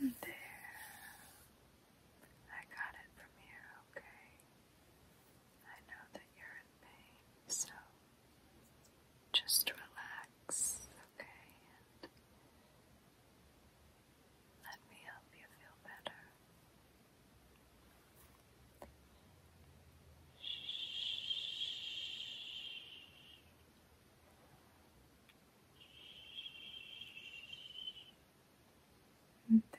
And there. I got it from here, okay? I know that you're in pain, so just relax, okay? let me help you feel better. Shh. And there.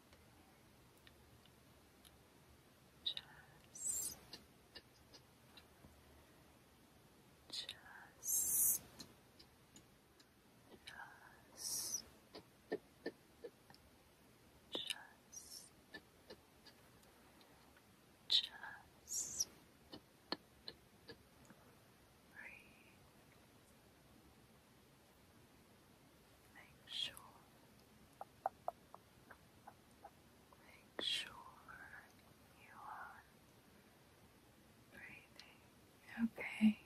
Just, just, just, just, just breathe. Make sure, make sure you are breathing. Okay.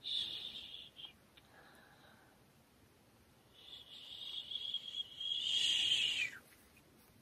Shh. Shh. Shh.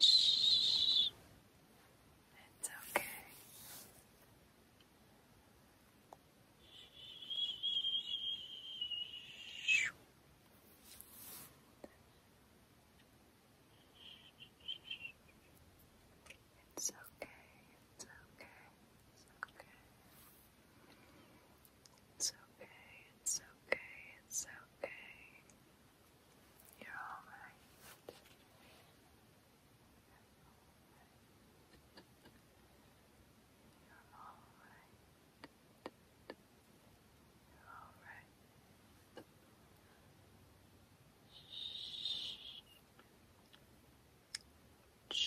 Shh. It's okay. It's It's okay. It's okay. It's okay. It's okay. It's okay. You're all right. You're all right. You're all right. Shh. Shh.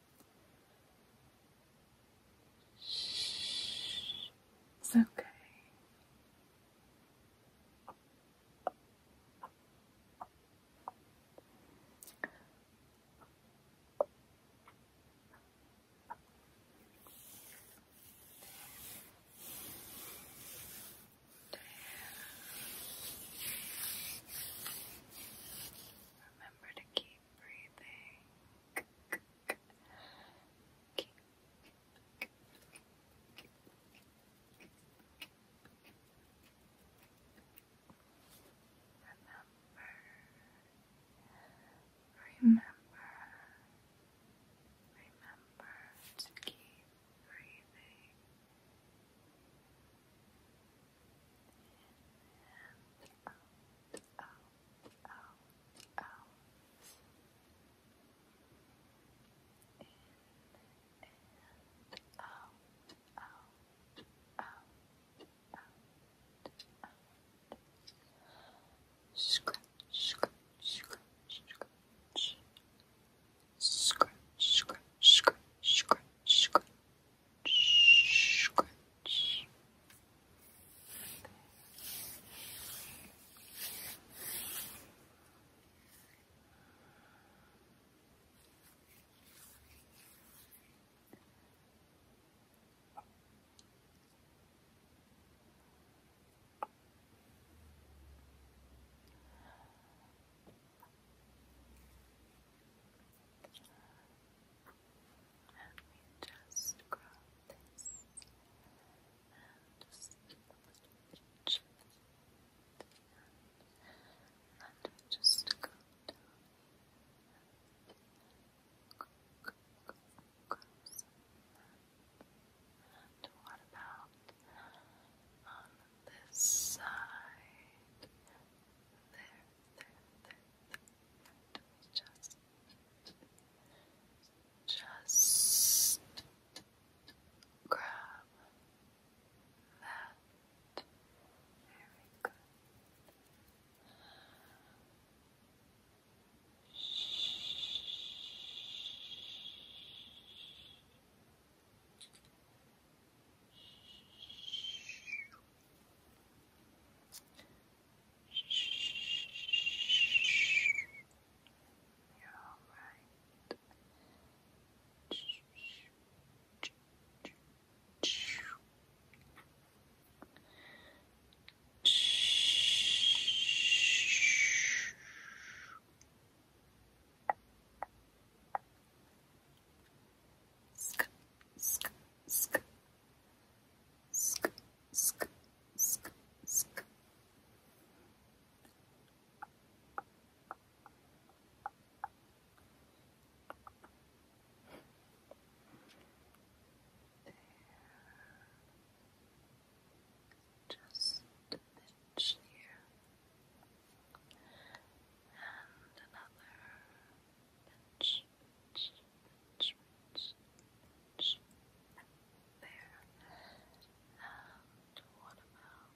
Shh. It's okay. Remember to keep breathing. Remember, remember, remember to keep breathing and out, out, out, out. and out, out, out, out, out. Scratch, scratch, scratch, scratch. Scratch, scratch, scratch, scratch, scratch. Scratch, Scrunch. And we just grab this and just pinch it. And just go down go, go, go, And what about on this side? there, there, there, there. Just, just grab that. Very good. Shh. You're all right just a pinch here and another pinch there. And what about?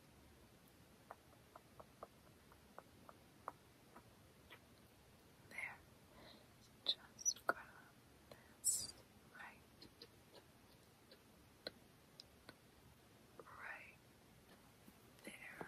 There. Just grab this right. Right there.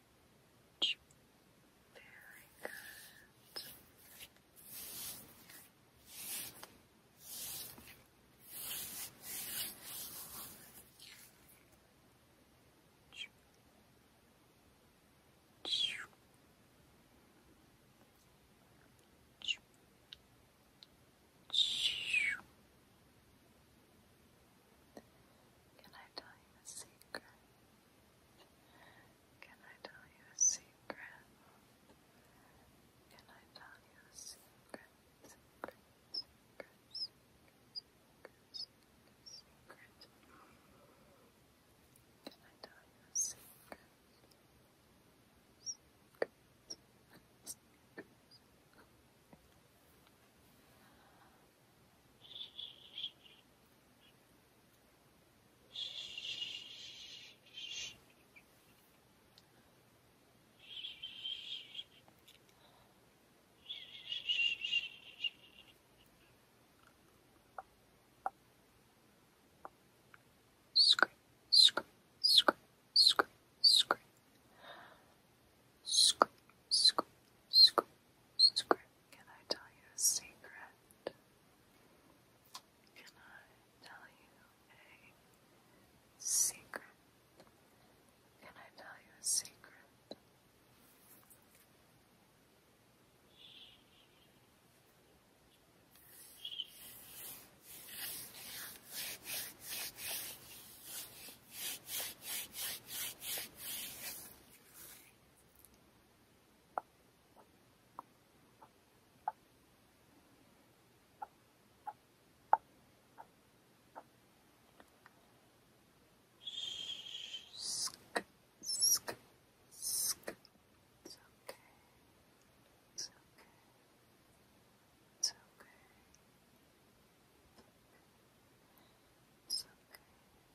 Very good. Can I tell you a secret? Can I tell you a secret? Can I tell you a secret? Secret, secret, secret, secret, secret, secret. Can I tell you a secret? Secret, secret, secret. Scrape, scrape, scrape, scrape, scrape, scrape, scrape, scrape, Script, can I tell you a secret? Can I tell you a secret? Can I tell you a secret? Sk, sk, It's okay. It's okay. It's okay. It's okay.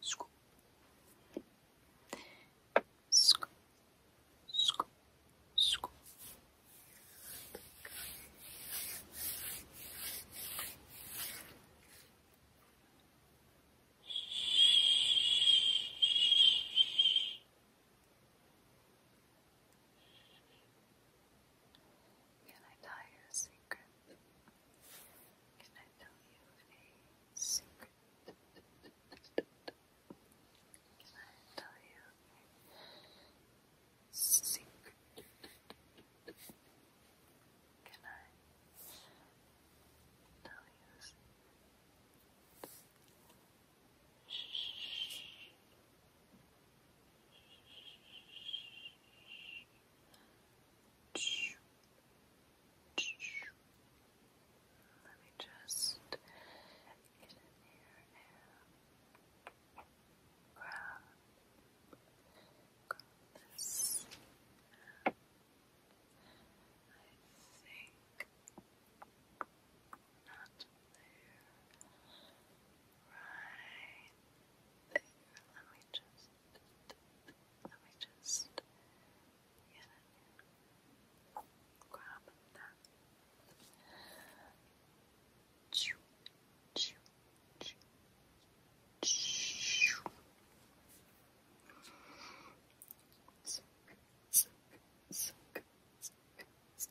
Scoop. Can I tell you a secret? Can I tell you a secret? Can I tell you a secret? Can I tell you Shh. Shh. Shh. Let me just get in here and grab, this. I think not there. Right. There. Let me just let me just يعني وعملنا تشو تشو تشو تشو زك زك زك زك زك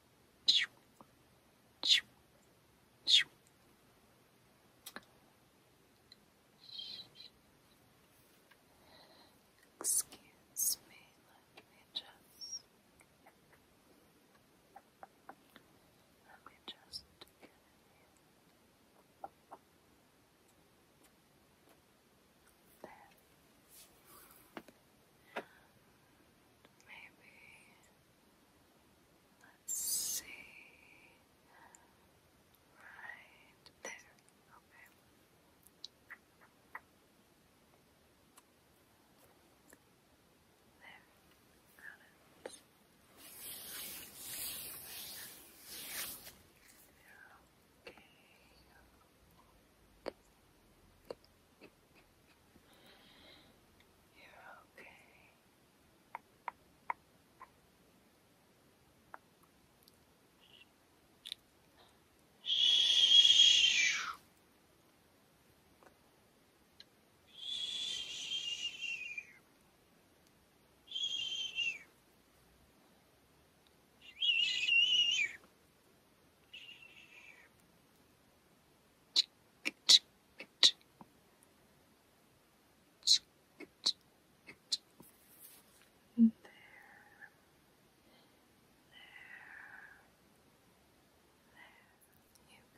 Excuse me, let me just let me just Maybe let's see right there. Okay. There. Got it. Okay. Okay. You're okay. Shh. Shh. Shh. There. There. You can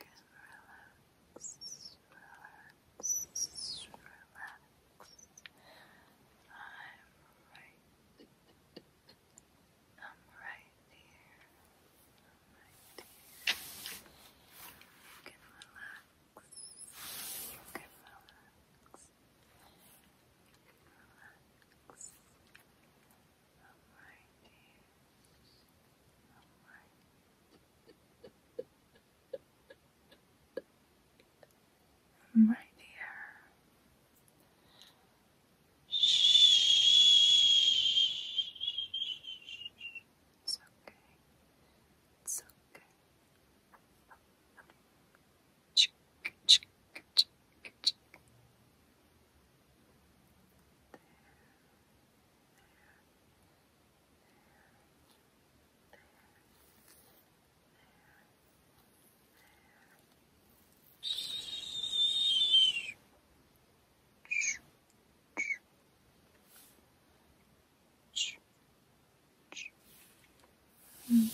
relax, relax, relax. I'm right I'm right here. You can relax. You can relax. You can relax. I'm right here. I'm right here. Shh. It's okay. It's okay. There. There. There. There. There. And there. Okay.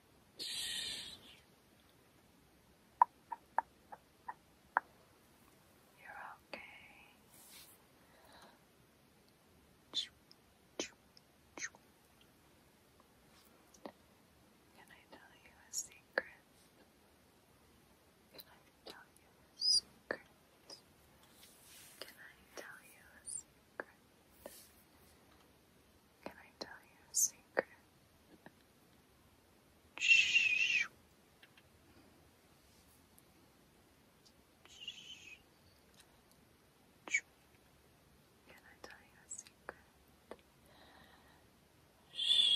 You're okay. Can I tell you a secret? Can I tell you a secret? Can I tell you a secret? Can I tell you a secret? Shh. Shh. Can I tell you a secret? Shh.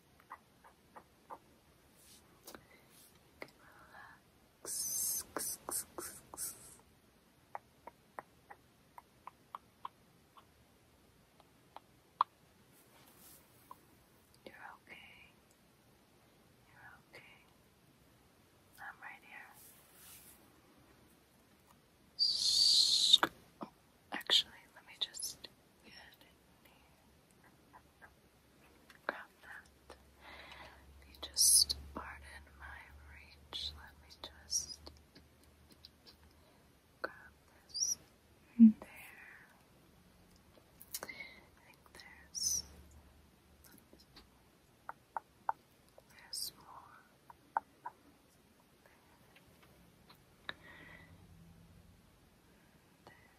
You are okay. You're okay. I'm right here. actually, let me just Good. Grab that. If you just pardon my reach, let me just grab this there. I think there's there's more. There.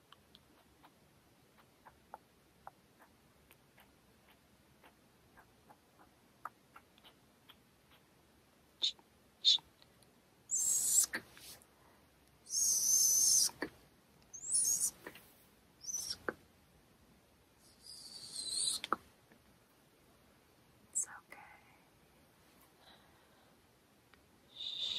Sk sk sk sk sk It's okay. Shh.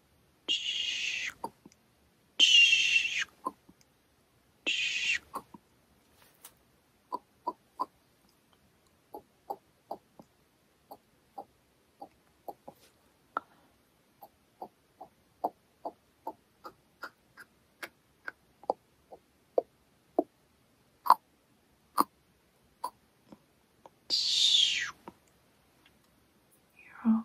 You're all right.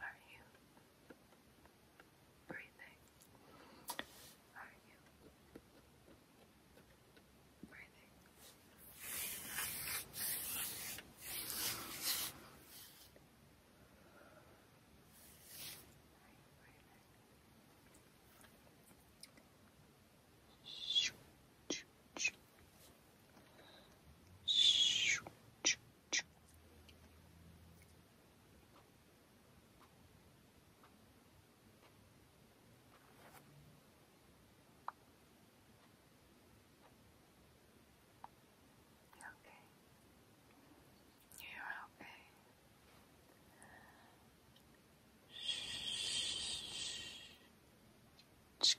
Are you breathing? Are you breathing? Are you breathing? Okay. You're okay. Shh.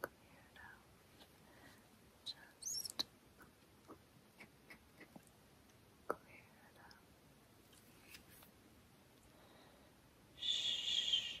cleared out. Just cleared out. Shh. Shh.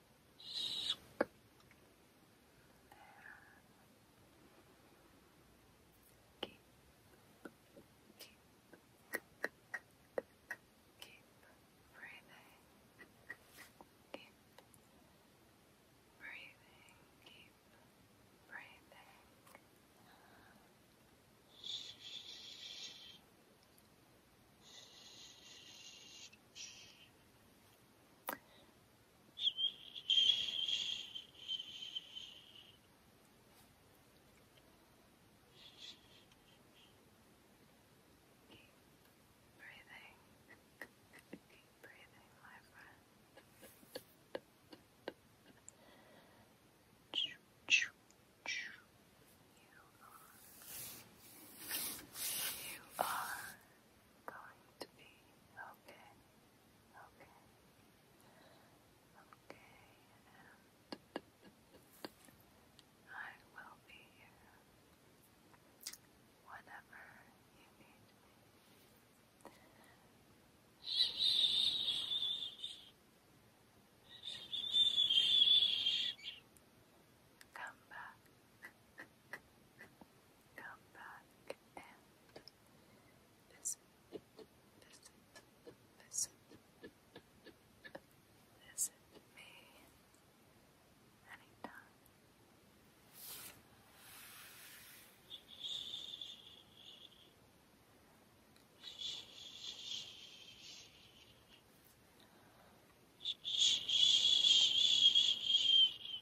Sc keep, keep, keep breathing, keep breathing, keep breathing. Shh. Shh. Shh. Keep breathing. breathing, my friend. You are. You are going to be okay, okay, okay, I will be here whenever you need me. Shh. Shh. Come back come back and visit, visit, visit, visit me anytime.